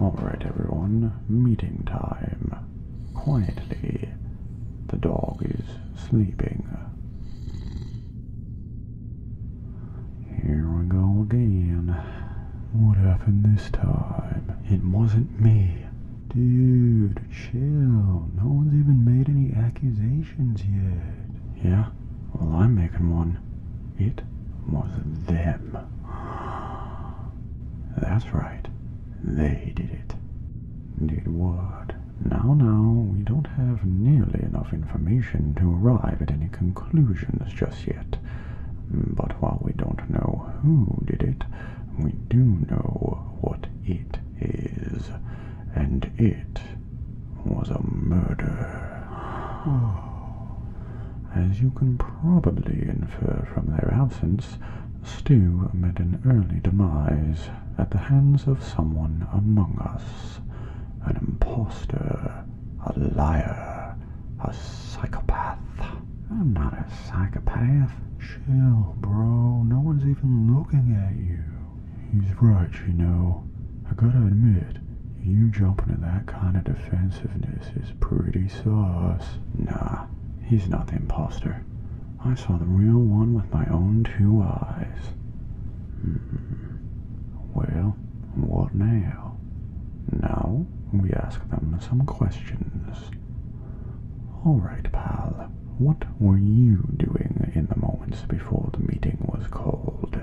Alright everyone, meeting time. Quietly. The dog is sleeping. Here we go again. What happened this time? It wasn't me. Dude, chill. No one's even made any accusations. Yeah? Well, I'm making one. It was them. That's right. They did it. Did what? Now, now, we don't have nearly enough information to arrive at any conclusions just yet. But while we don't know who did it, we do know what it is, and it was a murder. As you can probably infer from their absence, Stew met an early demise at the hands of someone among us an impostor, a liar, a psychopath. I'm not a psychopath. Chill, bro. No one's even looking at you. He's right, you know. I gotta admit, you jumping to that kind of defensiveness is pretty sauce. Nah, he's not the impostor. I saw the real one with my own two eyes. Hmm. Well, what now? Now, we ask them some questions. All right, pal. What were you doing in the moments before the meeting was called?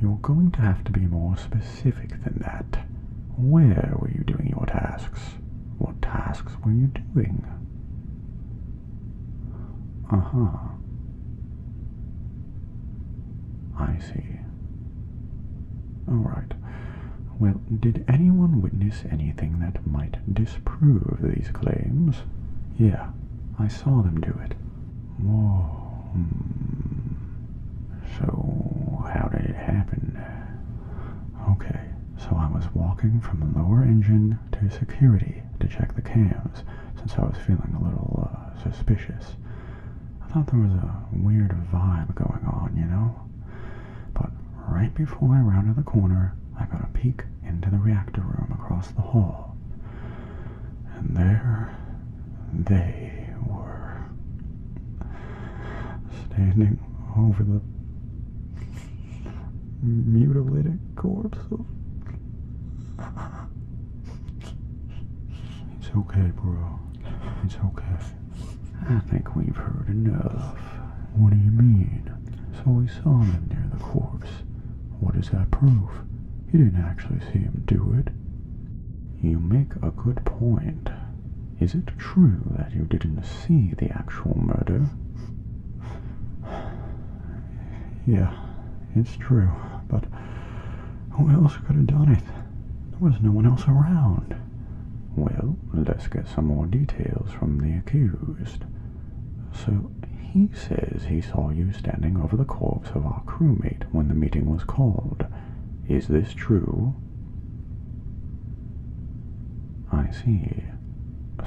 You're going to have to be more specific than that. Where were you doing your tasks? What tasks were you doing? Uh huh. I see. Alright. Well, did anyone witness anything that might disprove these claims? Yeah, I saw them do it. Whoa. Hmm. So, how did it happen? Okay, so I was walking from the lower engine to security to check the cams, since I was feeling a little uh, suspicious. I thought there was a weird vibe going on, you know? But right before I rounded the corner, I got a peek into the reactor room across the hall. And there they were, standing over the mutilated corpse of. It's okay, bro. It's okay. I think we've heard enough. What do you mean? So we saw him near the corpse. What does that prove? You didn't actually see him do it. You make a good point. Is it true that you didn't see the actual murder? yeah, it's true, but who else could have done it? There was no one else around. Well, let's get some more details from the accused. So, he says he saw you standing over the corpse of our crewmate when the meeting was called. Is this true? I see.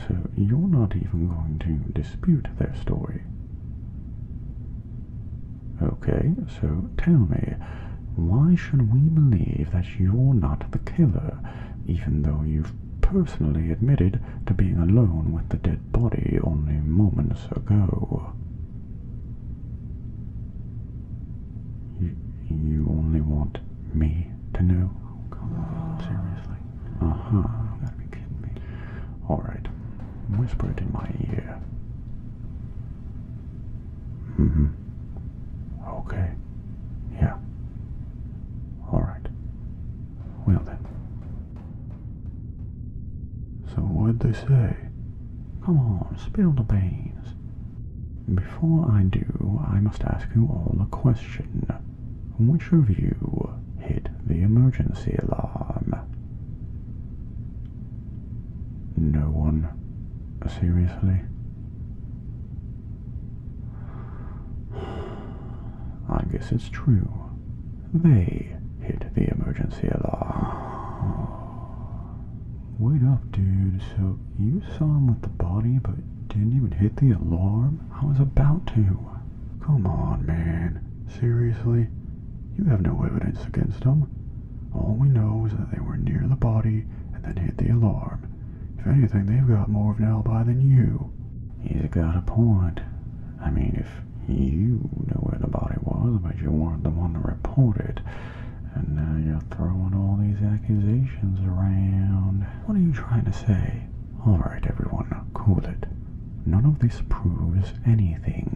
So you're not even going to dispute their story? Okay, so tell me, why should we believe that you're not the killer, even though you've personally admitted to being alone with the dead body only moments ago? You, you only want me to know? come on, seriously? Uh-huh. gotta be kidding me. Alright, whisper it in my ear. Mm-hmm. Okay. Yeah. All right. Well then. So what'd they say? Come on, spill the beans. Before I do, I must ask you all a question. Which of you hit the emergency alarm? No one. Seriously? I guess it's true. They hit the emergency alarm. Wait up, dude. So you saw him with the body, but didn't even hit the alarm? I was about to. Come on, man. Seriously? You have no evidence against him. All we know is that they were near the body and then hit the alarm. If anything, they've got more of an alibi than you. He's got a point. I mean, if you knew where the body was, but you weren't the one to report it, and now you're throwing all these accusations around. What are you trying to say? Alright, everyone, cool it. None of this proves anything.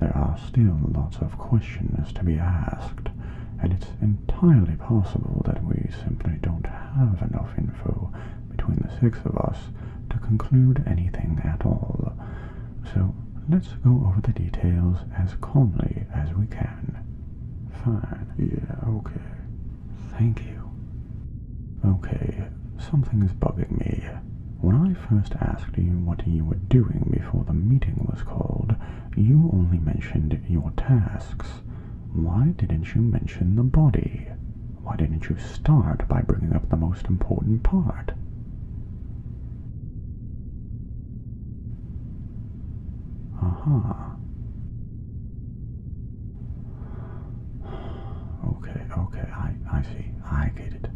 There are still lots of questions to be asked, and it's entirely possible that we simply don't have enough info between the six of us to conclude anything at all. So let's go over the details as calmly as we can. Fine. Yeah, okay. Thank you. Okay, Something is bugging me. When I first asked you what you were doing before the meeting was called, you only mentioned your tasks. Why didn't you mention the body? Why didn't you start by bringing up the most important part? Uh -huh. Okay, okay, I, I see. I get it.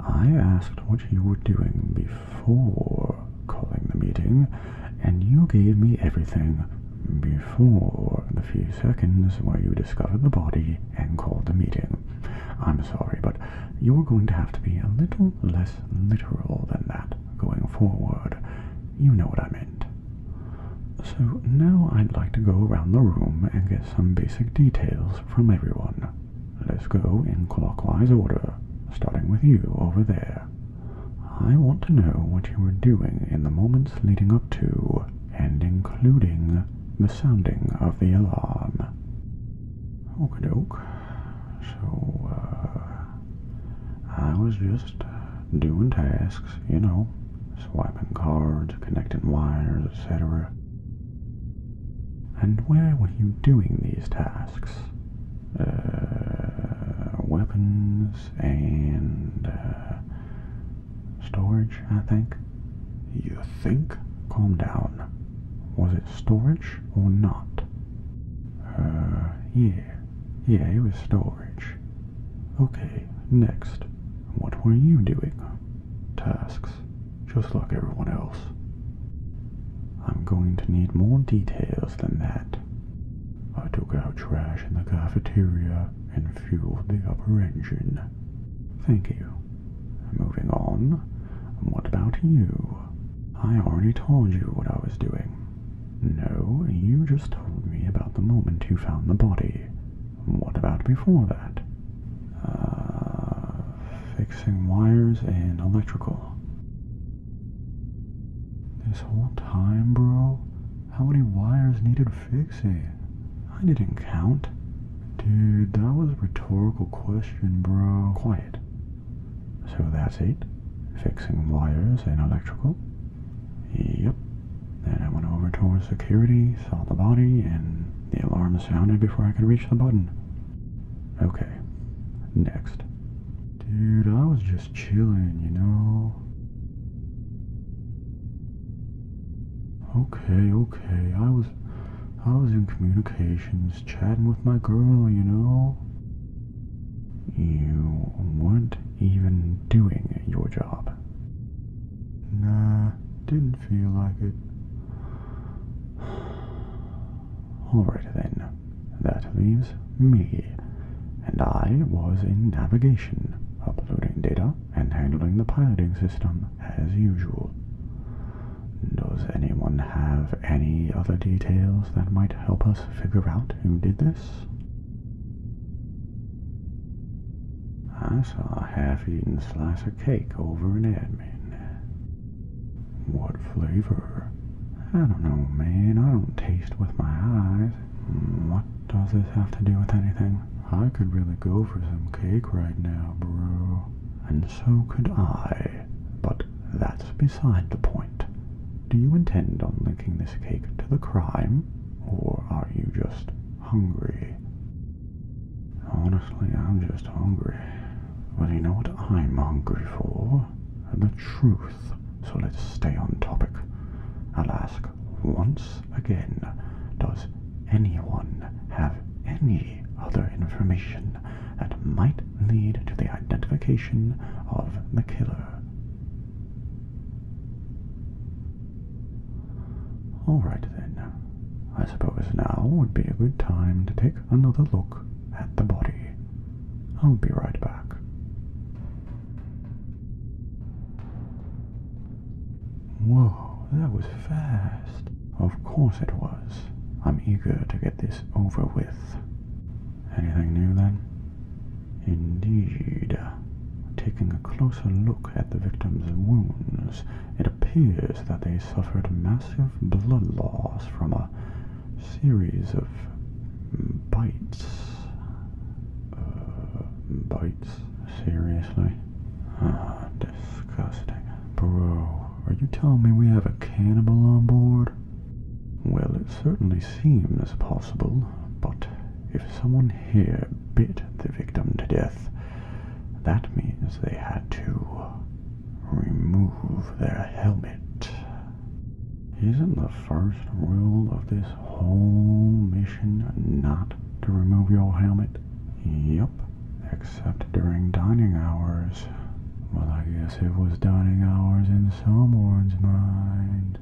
I asked what you were doing before calling the meeting, and you gave me everything before the few seconds where you discovered the body and called the meeting. I'm sorry, but you're going to have to be a little less literal than that going forward. You know what I meant. So now I'd like to go around the room and get some basic details from everyone. Let's go in clockwise order, starting with you over there. I want to know what you were doing in the moments leading up to, and including, the sounding of the alarm. Okie doke. So, uh, I was just doing tasks, you know, swiping cards, connecting wires, etc. And where were you doing these tasks? Uh, weapons and uh, storage, I think. You think? Calm down. Was it storage or not? Uh, yeah. Yeah, it was storage. Okay, next. What were you doing? tasks, just like everyone else. I'm going to need more details than that. I took out trash in the cafeteria and fueled the upper engine. Thank you. Moving on, what about you? I already told you what I was doing. No, you just told me about the moment you found the body. What about before that? Uh, fixing wires in electrical. This whole time, bro? How many wires needed fixing? I didn't count. Dude, that was a rhetorical question, bro. Quiet. So that's it. Fixing wires in electrical. Yep. Then I went over towards security, saw the body, and the alarm sounded before I could reach the button. Okay, next. Dude, I was just chilling, you know? Okay, okay, I was... I was in communications, chatting with my girl, you know? You weren't even doing your job. Nah, didn't feel like it. Alright then, that leaves me. And I was in navigation, uploading data and handling the piloting system as usual. Does anyone have any other details that might help us figure out who did this? I saw a half-eaten slice of cake over in Edmond. What flavor? I don't know, man. I don't taste with my eyes. What does this have to do with anything? I could really go for some cake right now, bro. And so could I. But that's beside the point. Do you intend on linking this cake to the crime? Or are you just hungry? Honestly, I'm just hungry. But you know what I'm hungry for? The truth. So let's stay on topic. I'll ask once again, does anyone have any other information that might lead to the identification of the killer? All right then, I suppose now would be a good time to take another look at the body. I'll be right back. Whoa, that was fast. Of course it was. I'm eager to get this over with. Anything new then? Indeed. Taking a closer look at the victim's wounds, it appears that they suffered massive blood loss from a series of bites. Uh, bites? Seriously? Ah, disgusting. Bro, are you telling me we have a cannibal on board? Well, it certainly seems possible, but if someone here beat the victim to death. That means they had to remove their helmet. Isn't the first rule of this whole mission not to remove your helmet? Yep, except during dining hours. Well, I guess it was dining hours in someone's mind.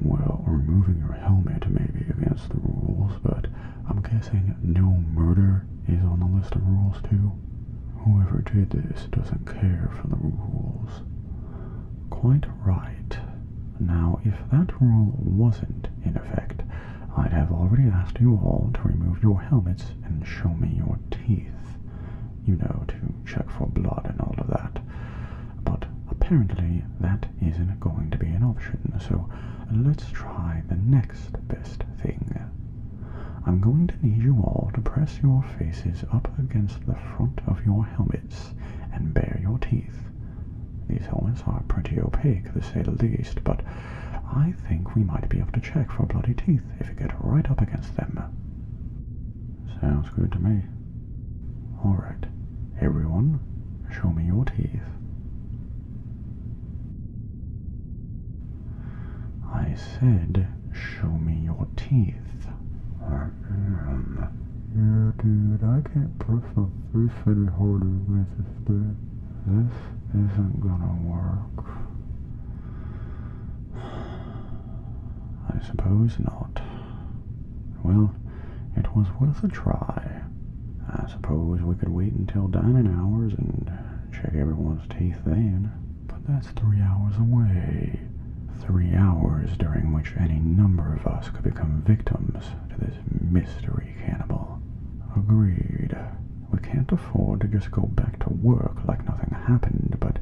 Well, removing your helmet may be against the rules, but I'm guessing no murder is on the list of rules too. Whoever did this doesn't care for the rules. Quite right. Now, if that rule wasn't in effect, I'd have already asked you all to remove your helmets and show me your teeth. You know, to check for blood and all of that but apparently that isn't going to be an option, so let's try the next best thing. I'm going to need you all to press your faces up against the front of your helmets and bare your teeth. These helmets are pretty opaque, to say the least, but I think we might be able to check for bloody teeth if we get right up against them. Sounds good to me. Alright, everyone, show me your teeth. I said, show me your teeth. Yeah, dude, I can't perform my face any harder with this thing. This isn't gonna work. I suppose not. Well, it was worth a try. I suppose we could wait until dining hours and check everyone's teeth then. But that's three hours away. Three hours during which any number of us could become victims to this mystery cannibal. Agreed. We can't afford to just go back to work like nothing happened, but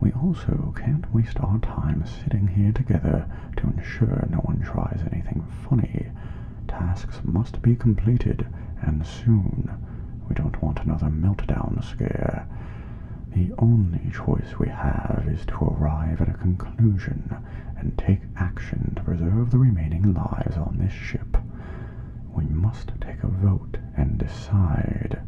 we also can't waste our time sitting here together to ensure no one tries anything funny, tasks must be completed, and soon. We don't want another meltdown scare. The only choice we have is to arrive at a conclusion and take action to preserve the remaining lives on this ship. We must take a vote and decide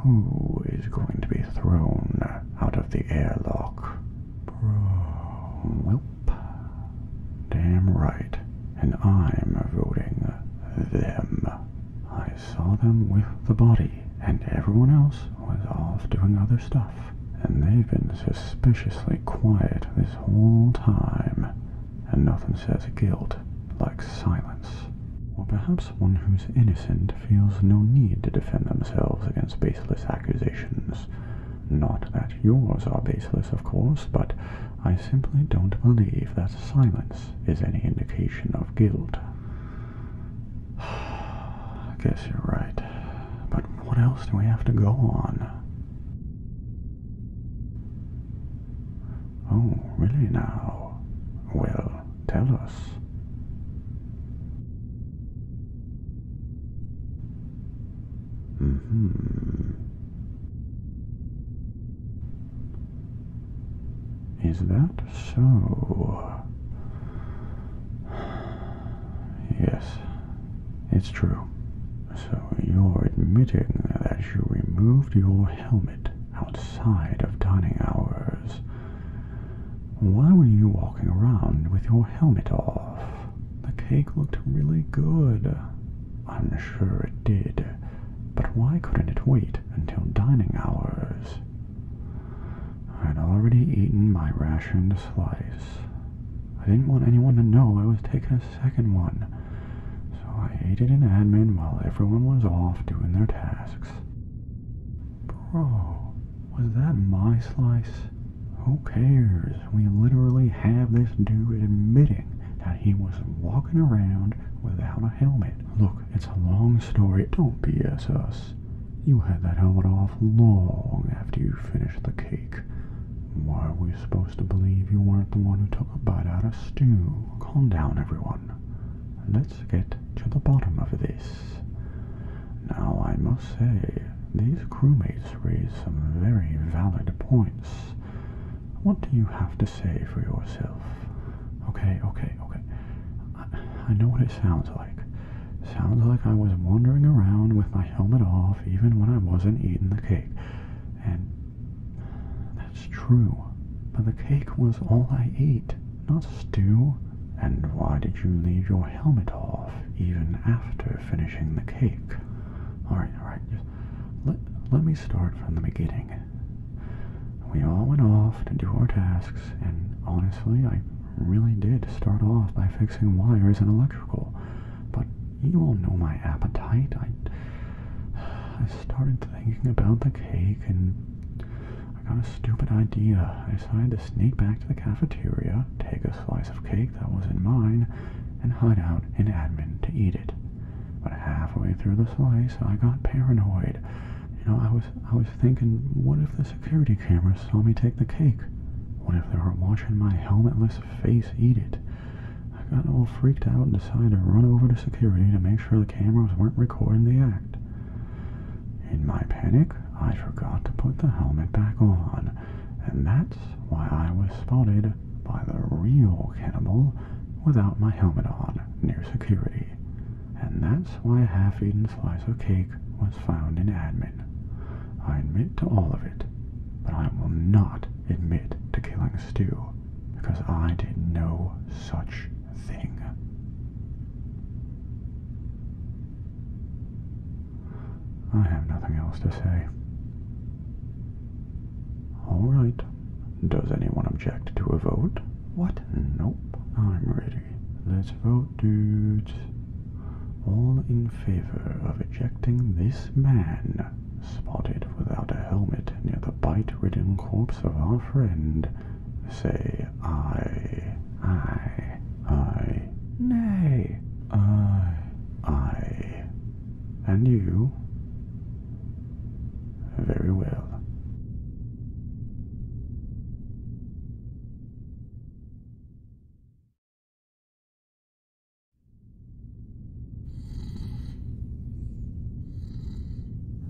who is going to be thrown out of the airlock? Bro. Welp. Damn right. And I'm voting them. I saw them with the body, and everyone else was off doing other stuff. And they've been suspiciously quiet this whole time. And nothing says guilt like silence. Or perhaps one who's innocent feels no need to defend themselves against baseless accusations. Not that yours are baseless, of course, but I simply don't believe that silence is any indication of guilt. I guess you're right. But what else do we have to go on? Oh, really now? Well, tell us hmm. Is that so? Yes, it's true. So you're admitting that you removed your helmet outside of dining hours why were you walking around with your helmet off? The cake looked really good. I'm sure it did. But why couldn't it wait until dining hours? I'd already eaten my rationed slice. I didn't want anyone to know I was taking a second one, so I ate it in admin while everyone was off doing their tasks. Bro, was that my slice? Who cares? We literally have this dude admitting that he was walking around without a helmet. Look, it's a long story. Don't BS us. You had that helmet off long after you finished the cake. Why are we supposed to believe you weren't the one who took a bite out of stew? Calm down, everyone. Let's get to the bottom of this. Now, I must say, these crewmates raise some very valid points. What do you have to say for yourself? Okay, okay, okay. I, know what it sounds like. Sounds like I was wandering around with my helmet off even when I wasn't eating the cake. And that's true. But the cake was all I ate. Not stew? And why did you leave your helmet off even after finishing the cake? Alright, alright, let, let me start from the beginning. We all went off to do our tasks, and honestly, I really did start off by fixing wires and electrical. But you all know my appetite. I, I started thinking about the cake and I got a stupid idea. I decided to sneak back to the cafeteria, take a slice of cake that was not mine, and hide out in admin to eat it. But halfway through the slice, I got paranoid. You know, I was I was thinking, what if the security cameras saw me take the cake? What if they were watching my helmetless face eat it? I got all freaked out and decided to run over to security to make sure the cameras weren't recording the act. In my panic, I forgot to put the helmet back on, and that's why I was spotted by the real cannibal without my helmet on near security. And that's why a half-eaten slice of cake was found in admin. I admit to all of it, but I will not admit to killing Stew, because I did no such thing. I have nothing else to say. All right. Does anyone object to a vote? What? Nope. I'm ready. Let's vote, dudes. All in favor of ejecting this man, spotted without a helmet near the bite-ridden corpse of our friend, say I, I, I, nay, I, I. And you? Very well.